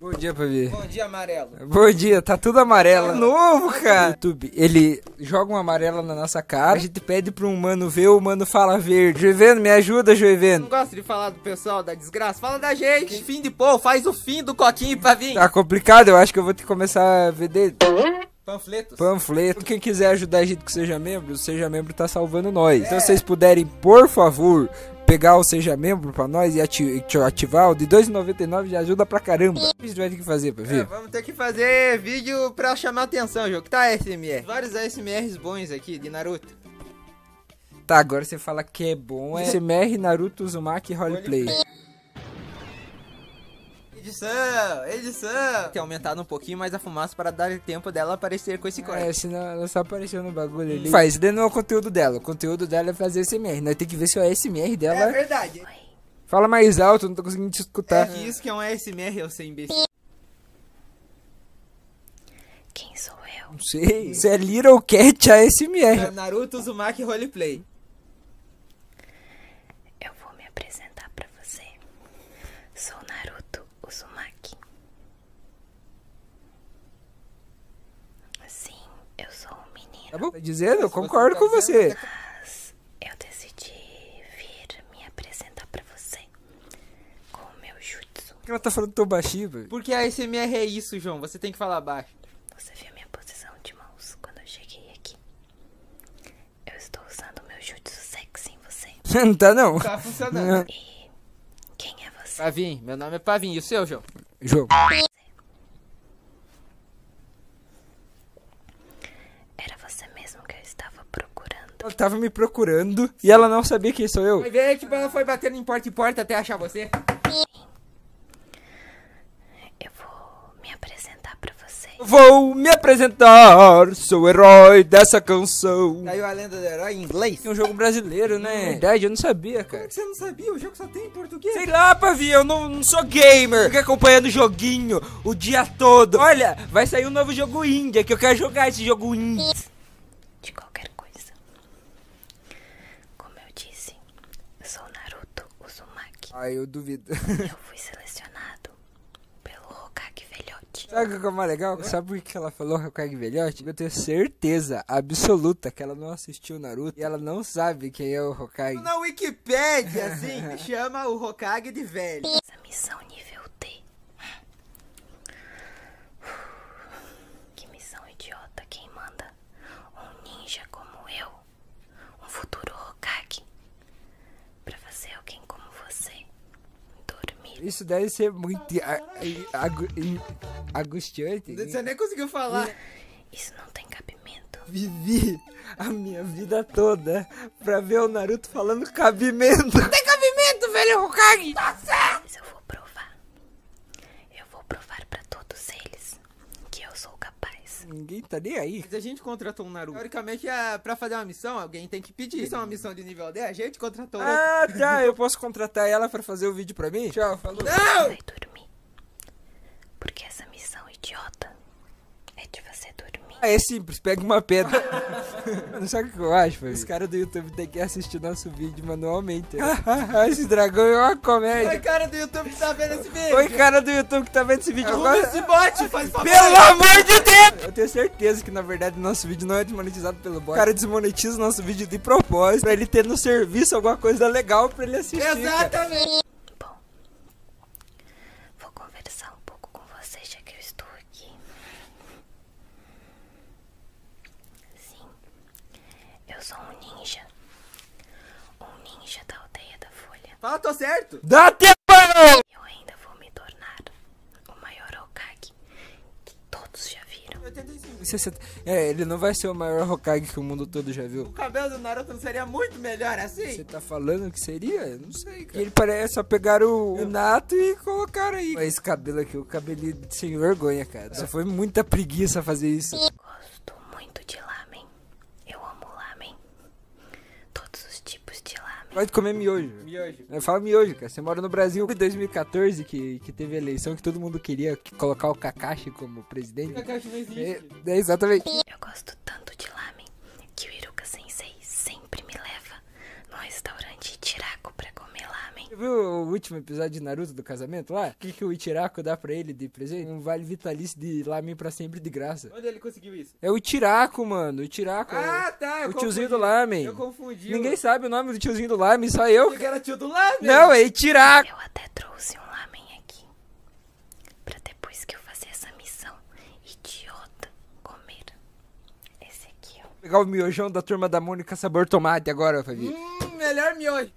Bom dia, Pavi. Bom dia, amarelo. Bom dia, tá tudo amarelo. É novo, cara. YouTube, ele joga um amarelo na nossa cara, a gente pede pro um mano ver, o mano fala verde. Joivendo, me ajuda, Joivendo. Não gosto de falar do pessoal da desgraça, fala da gente. fim de pô, faz o fim do coquinho, Pavi. Tá complicado, eu acho que eu vou ter que começar a vender... Panfletos. Panfleto. Quem quiser ajudar a gente que seja membro, seja membro tá salvando nós. Então, é. se vocês puderem por favor, pegar o Seja Membro para nós e ativar, o de 2,99 de ajuda pra caramba. É. O que a gente vai ter que fazer, para ver? É, vamos ter que fazer vídeo para chamar atenção, O jogo. Tá, SMR. Vários SMRs bons aqui, de Naruto. Tá, agora você fala que é bom. É SMR, Naruto, Uzumaki, Roleplay. Edição, edição. Tem aumentado um pouquinho mais a fumaça para dar tempo dela aparecer com esse corte. É, ela só apareceu no bagulho ali. Faz, dentro não é o conteúdo dela. O conteúdo dela é fazer SMR. Nós temos que ver se é o SMR dela. É verdade. Fala mais alto, não tô conseguindo te escutar. É isso que é um ASMR, eu sei, imbecil. Quem sou eu? Não sei. Isso é Little Cat ASMR. É Naruto Uzumaki Roleplay. Eu vou me apresentar pra você. Sou Naruto Uzumaki. Sim, eu sou um menino. Tá bom, tá dizendo, eu concordo com você. Tá- Mas eu decidi vir me apresentar pra você com o meu jutsu. Por que ela tá falando tão baixinho, velho? Porque a ASMR é isso, João, você tem que falar baixo. Você viu minha posição de mãos quando eu cheguei aqui? Eu estou usando o meu jutsu sexy em você. não tá não. Tá funcionando. E quem é você? Pavim, meu nome é Pavim. E o seu, João? João. Era você mesmo que eu estava procurando. Ela estava me procurando e ela não sabia que sou eu. Foi ver que tipo, ela foi batendo em porta em porta até achar você. Eu vou me apresentar pra vocês. Vou me apresentar, sou o herói dessa canção. Caiu a lenda do herói em inglês mais. Tem um jogo brasileiro, né? É hum, verdade, eu não sabia, cara. você não sabia? O jogo só tem em português. Sei lá, Pavi, eu não, sou gamer. Fica acompanhando o joguinho o dia todo. Olha, vai sair um novo jogo Índia, é que eu quero jogar esse jogo Índia. De qualquer coisa. Como eu disse, sou Naruto Uzumaki. Ah, eu duvido. eu fui selecionado pelo Hokage velho. Sabe o que é, é mais legal? Sabe por que ela falou Hokage é Velhote? Eu tenho certeza absoluta que ela não assistiu Naruto e ela não sabe quem é o Hokage. Na Wikipedia, assim, chama o Hokage de velho. Essa missão nível D. Que missão idiota quem manda? Um ninja como eu? Um futuro Hokage? Pra fazer alguém como você? Dormir. Isso deve ser muito agu né? Você nem conseguiu falar. Isso não tem cabimento. Vivi a minha vida toda pra ver o Naruto falando cabimento. Não tem cabimento, velho Hokage! Tá certo! Mas eu vou provar. Eu vou provar pra todos eles que eu sou capaz. Ninguém tá nem aí. Mas a gente contratou um Naruto. Teoricamente, é pra fazer uma missão, alguém tem pedir. Isso é uma missão de nível 10, a gente contratou. Ah, tá, eu posso contratar ela pra fazer o vídeo pra mim? Tchau, falou. Não! Porque essa missão idiota é de você dormir. Ah, é simples, pega uma pedra. Mano, sabe o que eu acho, velho? Os caras do YouTube têm que assistir nosso vídeo manualmente. né? esse dragão é uma comédia. Oi, cara do YouTube que tá vendo esse vídeo. Oi, cara do YouTube que tá vendo esse vídeo agora. esse bote, Pelo amor de Deus! Eu tenho certeza certeza que, na verdade, nosso vídeo não é desmonetizado pelo bot. O cara desmonetiza o nosso vídeo de propósito pra ele ter no serviço alguma coisa legal pra ele assistir. Exatamente! Bom, vou conversar um pouco com vocês já que eu estou aqui. Sim, eu sou um ninja. Um ninja da aldeia da folha. Fala, tô certo! Dá tempo! Eu ainda vou me tornar o maior Okage que todos já viram. É, ele não vai ser o maior Hokage que o mundo todo já viu. O cabelo do Naruto não seria muito melhor assim? Você tá falando que seria? Eu não sei, cara. E ele parece é só pegar o, o Nato e colocar aí. Mas esse cabelo aqui, é o cabelinho sem vergonha, cara. Só foi muita preguiça fazer isso. Gosto muito de lamen. Eu amo lamen. Todos os dias. Pode comer miojo. Miojo. Fala miojo, cara. Você mora no Brasil. Em 2014, que, que teve a eleição que todo mundo queria colocar o Kakashi como presidente. O Kakashi não existe. É, é exatamente. Eu gosto tanto de lamen que o Iruka Sensei sempre me leva no restaurante Tiraco pra comer lamen. Você viu o último episódio de Naruto do casamento lá? O que, que o Ichiraku dá pra ele de presente? Um vale vitalício de lamen pra sempre de graça. Onde ele conseguiu isso? É o tiraco, mano. O tiraco. É ah, tá. o tiozinho do Lamen. Eu confundi. Ninguém sabe o nome do tiozinho do Lamen, só eu. Que era tio do Lamen. Não, é Itiraco. Eu até trouxe um Lamen aqui. Pra depois que eu fazer essa missão idiota comer. Esse aqui, ó. Vou pegar o miojão da turma da Mônica Sabor Tomate agora, Fabi. Hum, melhor miojo.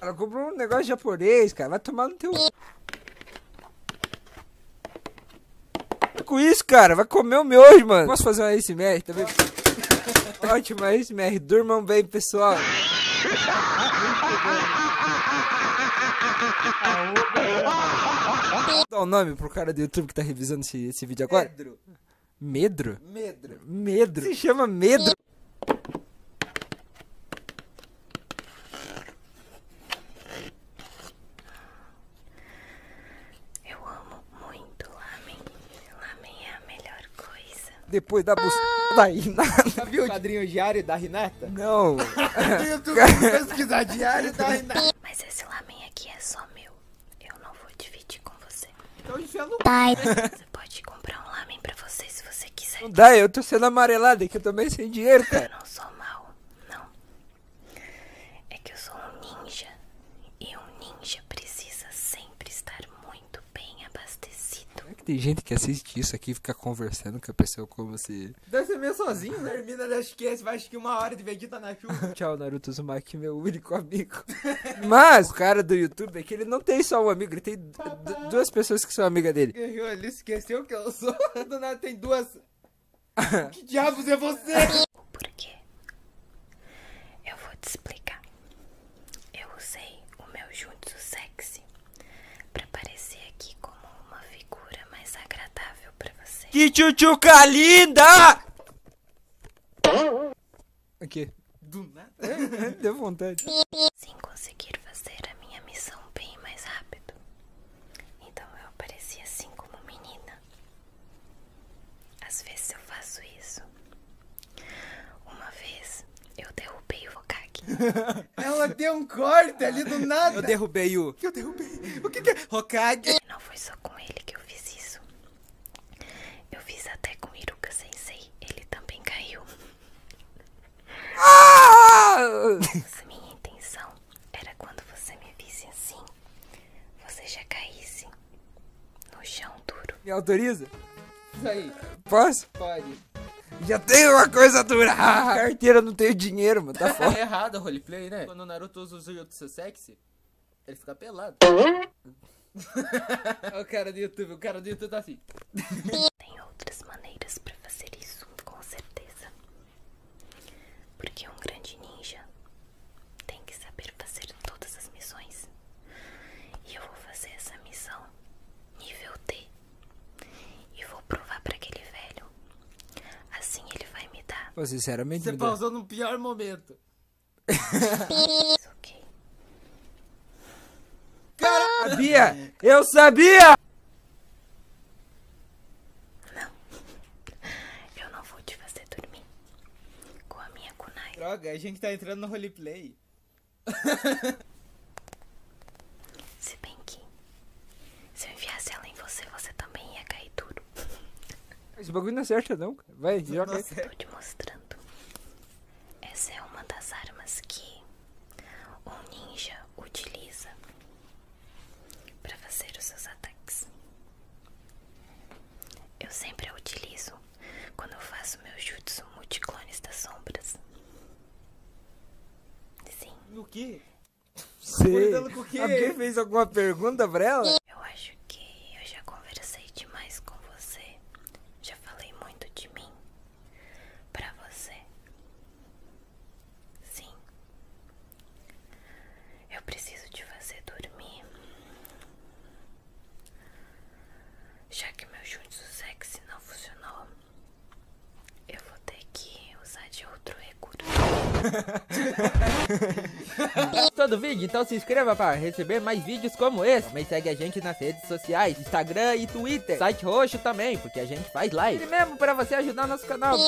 Ela comprou um negócio japonês, cara. Vai tomar no teu com isso, cara. Vai comer o meu hoje, mano. Posso fazer uma ASMR também? Ótima ASMR. Durmam bem, pessoal. Dá o um nome pro cara do YouTube que tá revisando esse, vídeo agora. Medro? Medro. Medro. Se chama Medro. Eu amo muito lamen. Lamen é a melhor coisa. Depois da busca ah! da Renata, viu? O quadrinho diário da Renata? Não. YouTube, pesquisar diário da Renata. Mas esse lamen aqui é só meu. Eu não vou dividir com você. Então enfia no... Pai. Né? Você pode comprar um lamen pra vocês se você quiser. Não dá, eu tô sendo amarelada, é que eu também sem dinheiro, cara. Eu não sou mal, não. É que eu sou um ninja. E um ninja precisa sempre estar muito bem abastecido. Como que tem gente que assiste isso aqui e fica conversando com a pessoa como você. Deve ser meio sozinho, né? Termina, acho que esse, acho que uma hora de Vegeta na chuva. Tchau, Naruto Uzumaki, meu único amigo. Mas cara do YouTube é que ele não tem só um amigo, ele tem duas pessoas que são amigas dele esqueceu que eu sou? Do tem duas. que diabos é você? Por quê? Eu vou te explicar. Eu usei o meu jutsu sexy pra parecer aqui como uma figura mais agradável pra você. Que tchutchuca linda! Aqui. Do nada? É, deu vontade sem conseguir fazer a minha missão bem mais rápido. Então eu apareci assim como menina. Às vezes eu faço isso. Uma vez eu derrubei o Hokage. Ela deu um corte ali do nada. Eu derrubei o. Eu derrubei. O que, é? Hokage. Não foi só com ele que eu fiz isso. Eu fiz até com Iruka Sensei. Ele também caiu. Ah! Se minha intenção era quando você me visse assim, você já caísse no chão duro. Me autoriza? Isso aí. Posso? Pode. Já tem uma coisa dura! carteira não tem dinheiro, mano. Tá é foda. é errado o roleplay, né? Quando o Naruto usa o Jujutsu sexy, ele fica pelado. Olha o cara do YouTube, o cara do YouTube tá assim. Tem outras maneiras para fazer isso, com certeza. Porque um grande ninja tem que saber fazer todas as missões. E eu vou fazer essa missão nível D E vou provar para aquele velho. Assim ele vai me dar. sinceramente, Você pausou no pior momento. ok. Caralho! Sabia! Eu sabia! Não. Eu não vou te fazer dormir. Com a minha kunai. Droga, a gente tá entrando no roleplay. Se bem que... Se eu enviasse ela em você, você também ia cair duro. Esse bagulho não acerta é não, cara. Vai, joga é aí. Eu tô te mostrando essa é uma das armas que um ninja utiliza para fazer os seus ataques. Eu sempre a utilizo quando eu faço meus jutsu multiclones das sombras. Sim. No que? Sei. Alguém fez alguma pergunta pra ela? Eu acho que eu já conversei demais com você. Já falei muito de mim para você. Sim. Eu preciso de você dormir. Já que meu jutsu sexy não funcionou, eu vou ter que usar de outro recurso. Todo vídeo? Então se inscreva para receber mais vídeos como esse. Também segue a gente nas redes sociais, Instagram e Twitter. Site roxo também, porque a gente faz live. E mesmo para você ajudar nosso canal.